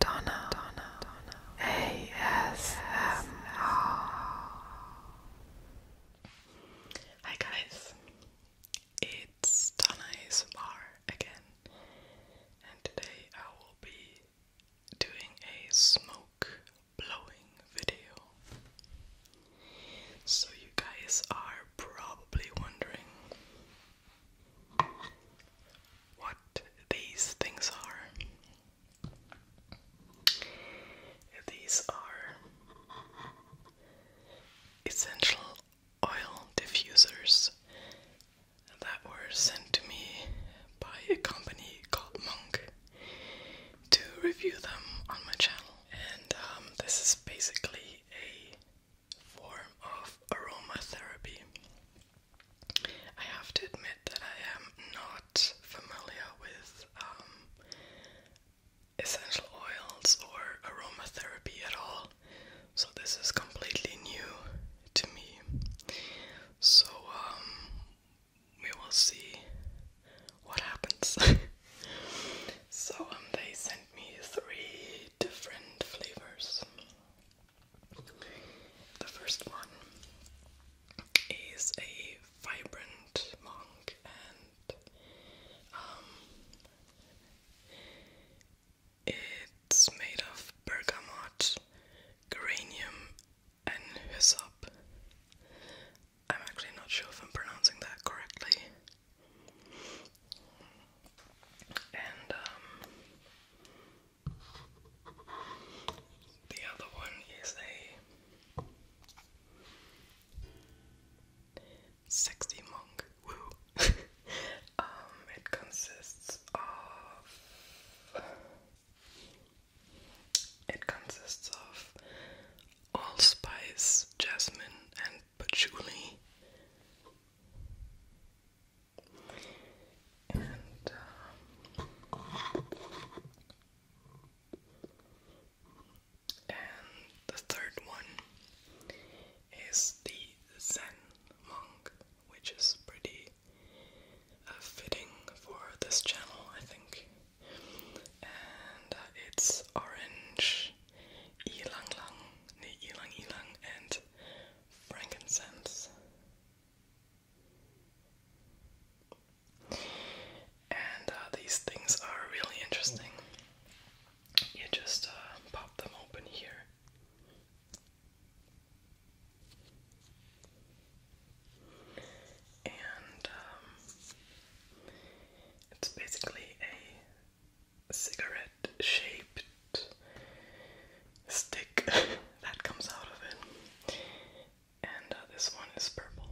Donna, Donna, Donna. ASMR. Hi guys, it's Donna ASMR again, and today I will be doing a smoke blowing video. So you guys are probably wondering what these things are. These are essential oil diffusers that were sent to me by a company called Monk to review them on my channel. And um, this is basically a form of aromatherapy. I have to admit that I am not familiar with um, essential oils or aromatherapy at all, so this is completely new to me. So um, we will see what happens. so um, they sent me three different flavors. The first one is a vibrant monk and um, it's made of bergamot, geranium and hyssop. I'm actually not sure if I'm pronouncing that correctly. And um, the other one is a sexy monk. Woo! Um, it consists of it consists of allspice, jasmine, and patchouli. Uh, and the third one is the Zen monk, which is pretty uh, fitting for this channel, I think. And uh, it's orange, e lang, e ilang, and frankincense. And uh, these things are really interesting. You just uh, pop them open here. And um, it's basically a cigarette shaped stick that comes out of it. And uh, this one is purple.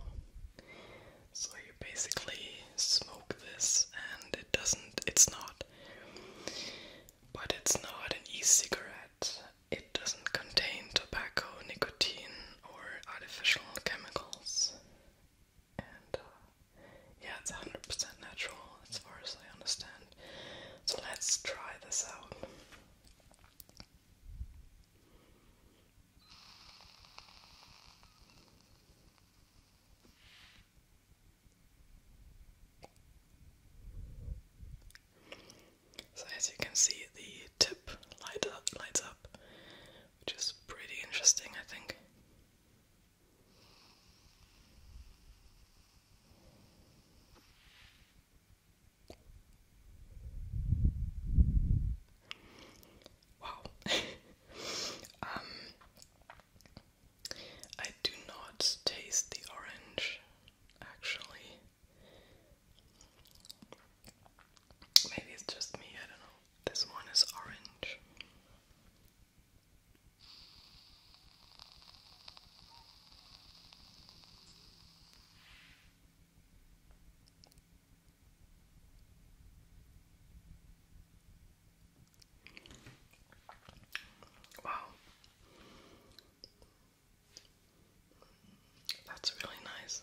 So you basically smoke this and it doesn't, it's not, but it's not an e-cigarette. It doesn't contain tobacco, nicotine, or artificial chemicals. And uh, yeah, it's 100% natural as far as I understand. So let's try this out. So as you can see, the tip lights up, which is pretty interesting, I think. Wow. um, I do not taste the orange, actually. Maybe it's just me, I don't know. This one is orange. Wow. That's really nice.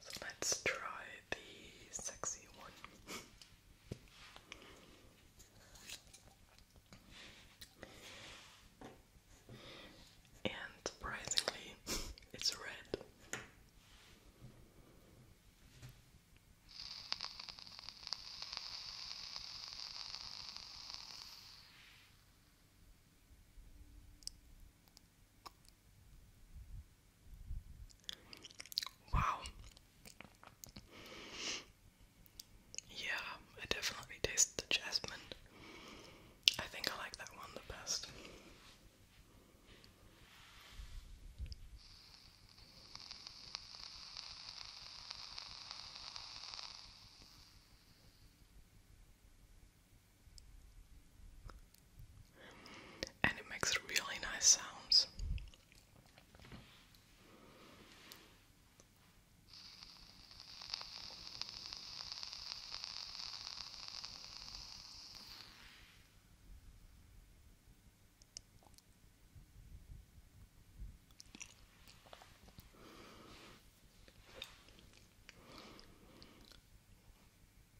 So let's try the sexy one. And surprisingly, it's red. Wow. Yeah, it definitely tastes the jasmine. I think I like that one the best. And it makes really nice sounds.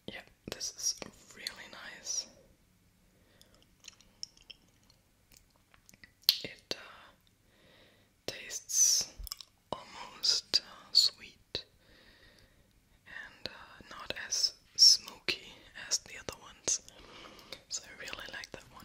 Yeah, this is really nice. It uh, tastes almost uh, sweet and uh, not as smoky as the other ones. So I really like that one.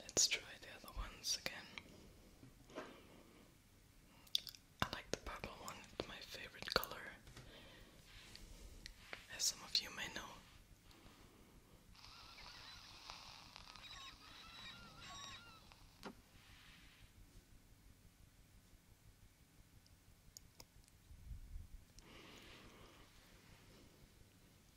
Let's try the other ones again. I like the purple one, it's my favorite color, as some of you may know.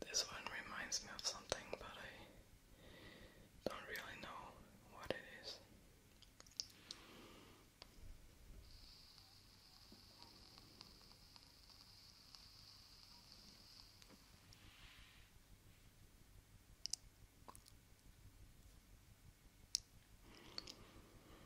This one reminds me of something, but I don't really know what it is.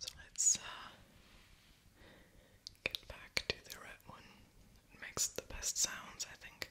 So let's uh, get back to the red one. It makes the best sounds, I think.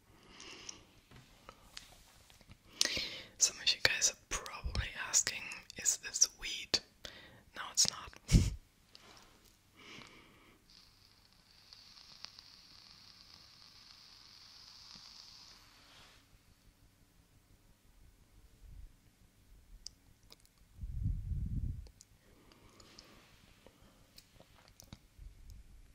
Some of you guys are probably asking, is this weed? No, it's not.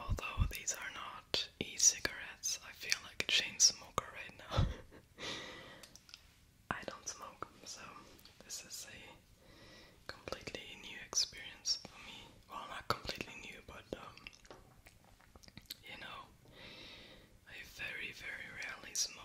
Although these are not e cigarettes, I feel like a chain smoker right now. I don't smoke, so this is a completely new experience for me. Well, not completely new, but um, you know, I very, very rarely smoke.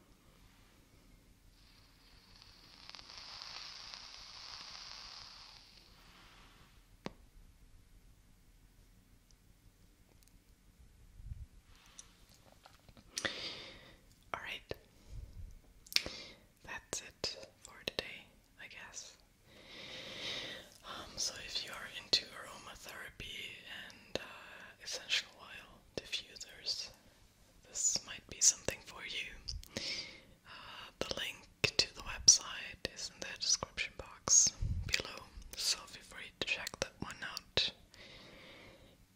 All right. That's it for today, I guess. Um, so, if you are into aromatherapy and uh, essential oil diffusers, this might be something for you. Uh, the link to the website is in the description box below, so feel free to check that one out.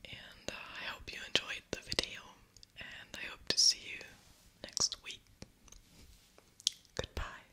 And uh, I hope you enjoyed the video, and I hope to see you next week. Goodbye.